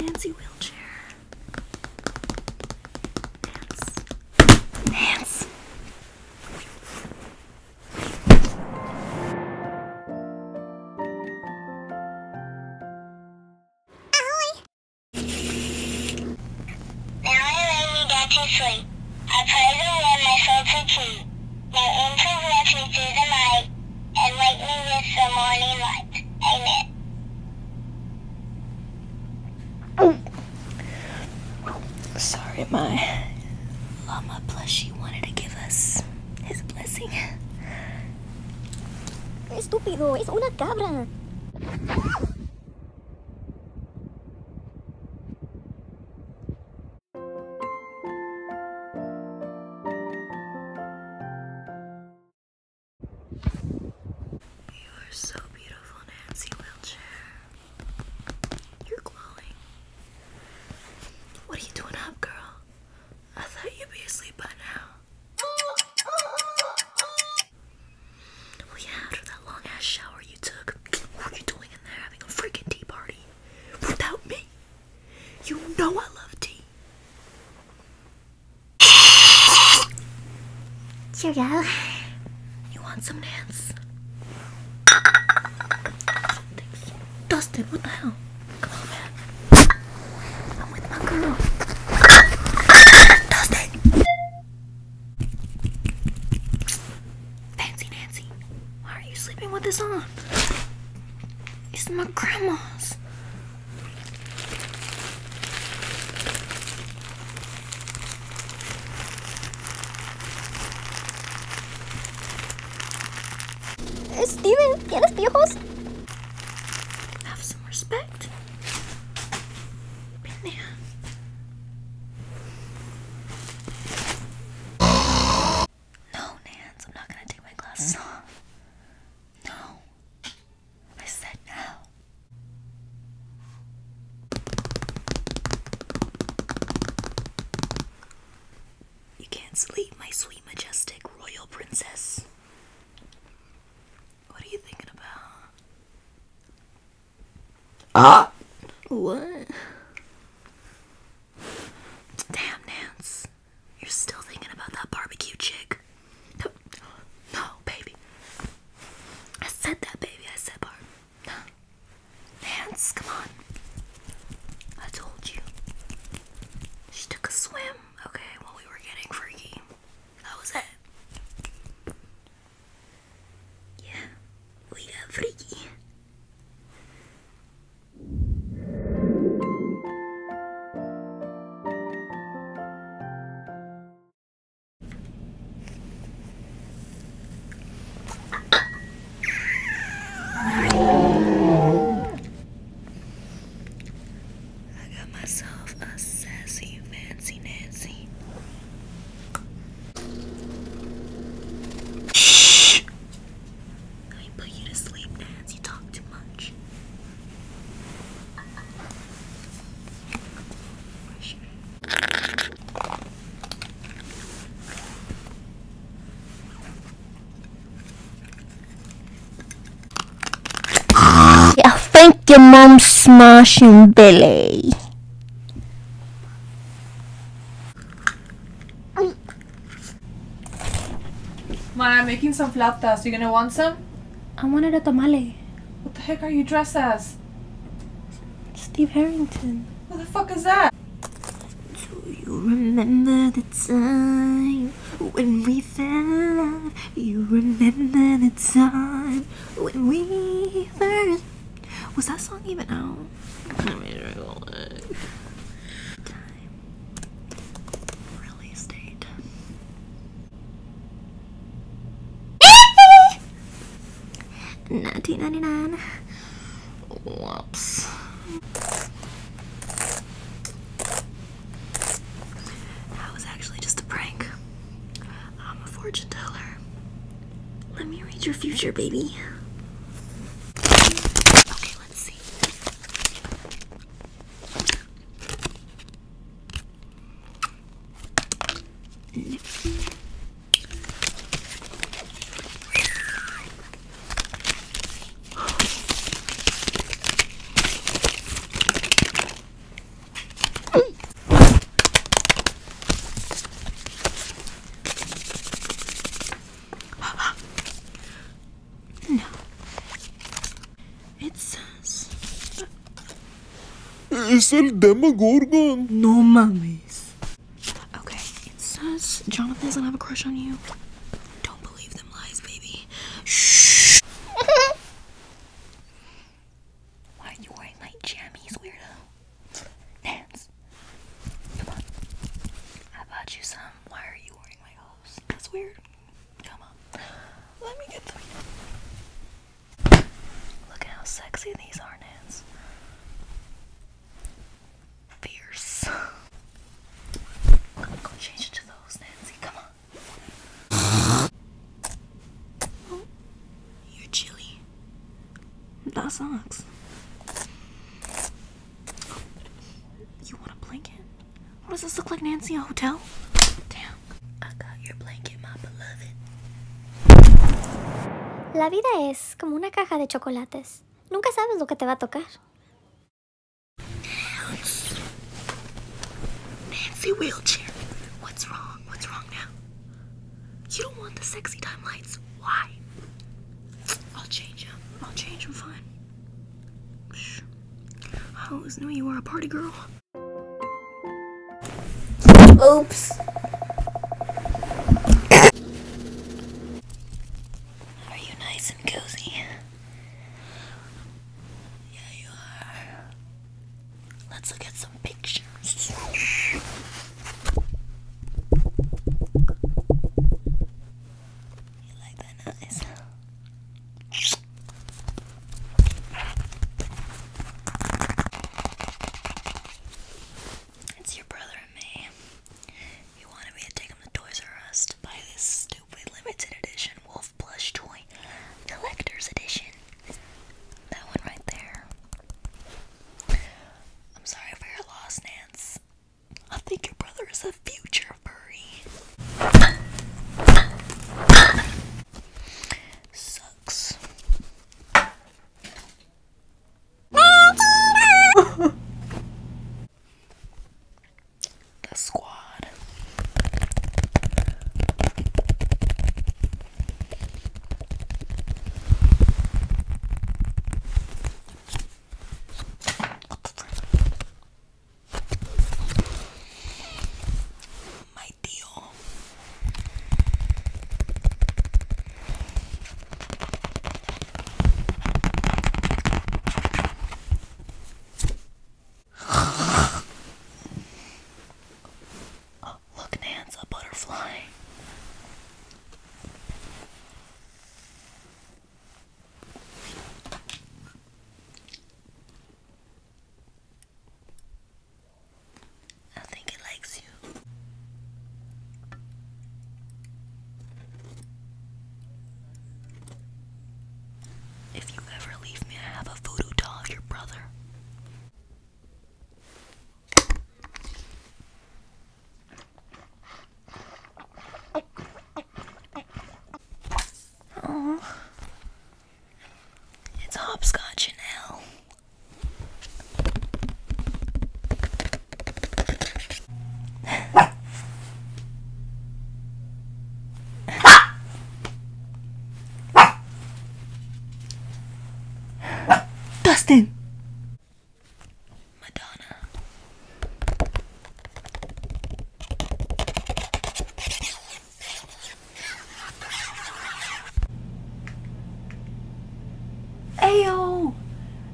Nancy wheelchair. Nance. Nance. Allie, now I lay me down to sleep. I pray the Lord my soul to keep. No angels watch me through the night, and wake me with the morning light. Amen. Sorry, my llama plushie wanted to give us his blessing. Estúpido, es una cabra. You are so beautiful, Nancy Wheelchair. You're glowing. What are you doing up, girl? I thought you'd be asleep by now. Well, oh, yeah, after that long ass shower you took, what are you doing in there having a freaking tea party without me? You know I love tea. Cheerio. You want some dance? Thanks. what the hell? I'm with my girl. Thursday. Fancy Nancy, why are you sleeping with this on? It's my grandma's. Steven, ¿tienes viejos? Have some respect in No, Nance, I'm not gonna take my glasses hmm? off. No. I said no. You can't sleep, my sweet, majestic royal princess. What are you thinking about? Ah! What? Damn, Nance. You're still thinking about that barbecue chick. No, baby. I said that, baby. I said No. Nance, come on. I told you. She took a swim, okay, while we were getting freaky. How was that? Yeah, we got freaky. I got myself a sassy, fancy Nancy. Shh! I put you to sleep, Nancy. You talk too much. I think your mom's smashing Billy. Man, I'm making some flautas. You are gonna want some? I wanted a tamale. What the heck are you dressed as? Steve Harrington. What the fuck is that? Do you remember the time? when we fell in love. You remember the time when we first. Was that song even out? Let me recall it. Release date. Nineteen ninety nine. Whoops. That was actually just a prank. I'm a fortune teller. Let me read your future, baby. Okay, let's see no. It says. It's el Demogorgon. No mummies. Okay, it says Jonathan doesn't have a crush on you. Don't believe them lies, baby. Shh. Why are you wearing my jammies, weirdo? Dance. Come on. I bought you some. Why are you wearing my hose? That's weird. Come on. Let me get them. Look how sexy these are, Nance. Fierce. I'm gonna change into those, Nancy. Come on. hotel? La vida es como una caja de chocolates. Nunca sabes lo que te va a tocar. Nancy. Nancy wheelchair. What's wrong? What's wrong now? You don't want the sexy time lights. Why? I'll change them. I'll change them fine. I always knew you were a party girl. Oops. Are you nice and cozy? Yeah, you are. Let's look at some pictures. You like that noise? It's your brother and me. He wanted me to take him to Toys R Us to buy this stupid limited edition wolf plush toy collector's edition. That one right there. I'm sorry for your loss, Nance. I think your brother is a future furry. Sucks. the squad. My deal oh, look, Nance, a butterfly. I think it likes you. If you ever leave me, I have a voodoo doll of your brother. Oh, it's hopscotch in Dustin! Madonna. Ayo!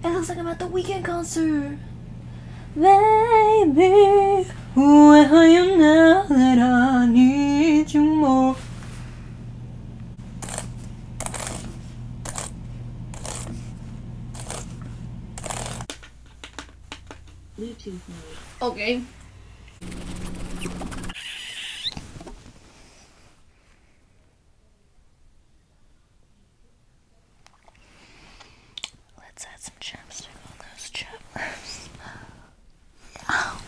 It looks like I'm at the weekend concert! Baby, where are you now that I need you more? Bluetooth Okay. Let's add some chapstick on those chappers. Oh,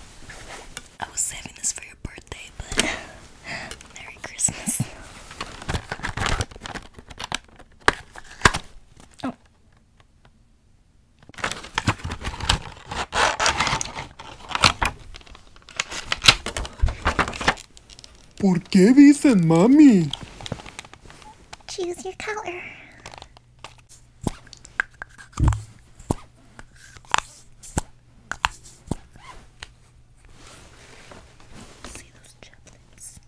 I was saving this for your birthday, but Merry Christmas. Oh. ¿Por qué dicen mami? Choose your color. See those chaplets.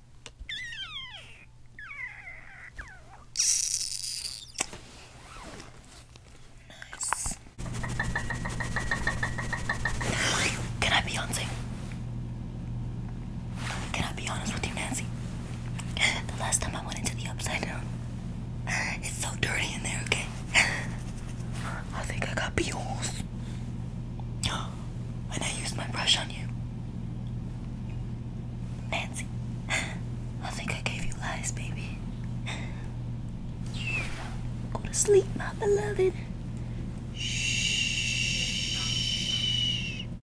Nice. Can I Beyonce? Can I be honest with you, Nancy? The last time I went into the upside down, it's so dirty in there, okay? I think I got pee holes. I used my brush on you. Nancy, I think I gave you lies, baby. Go to sleep, my beloved. Shh.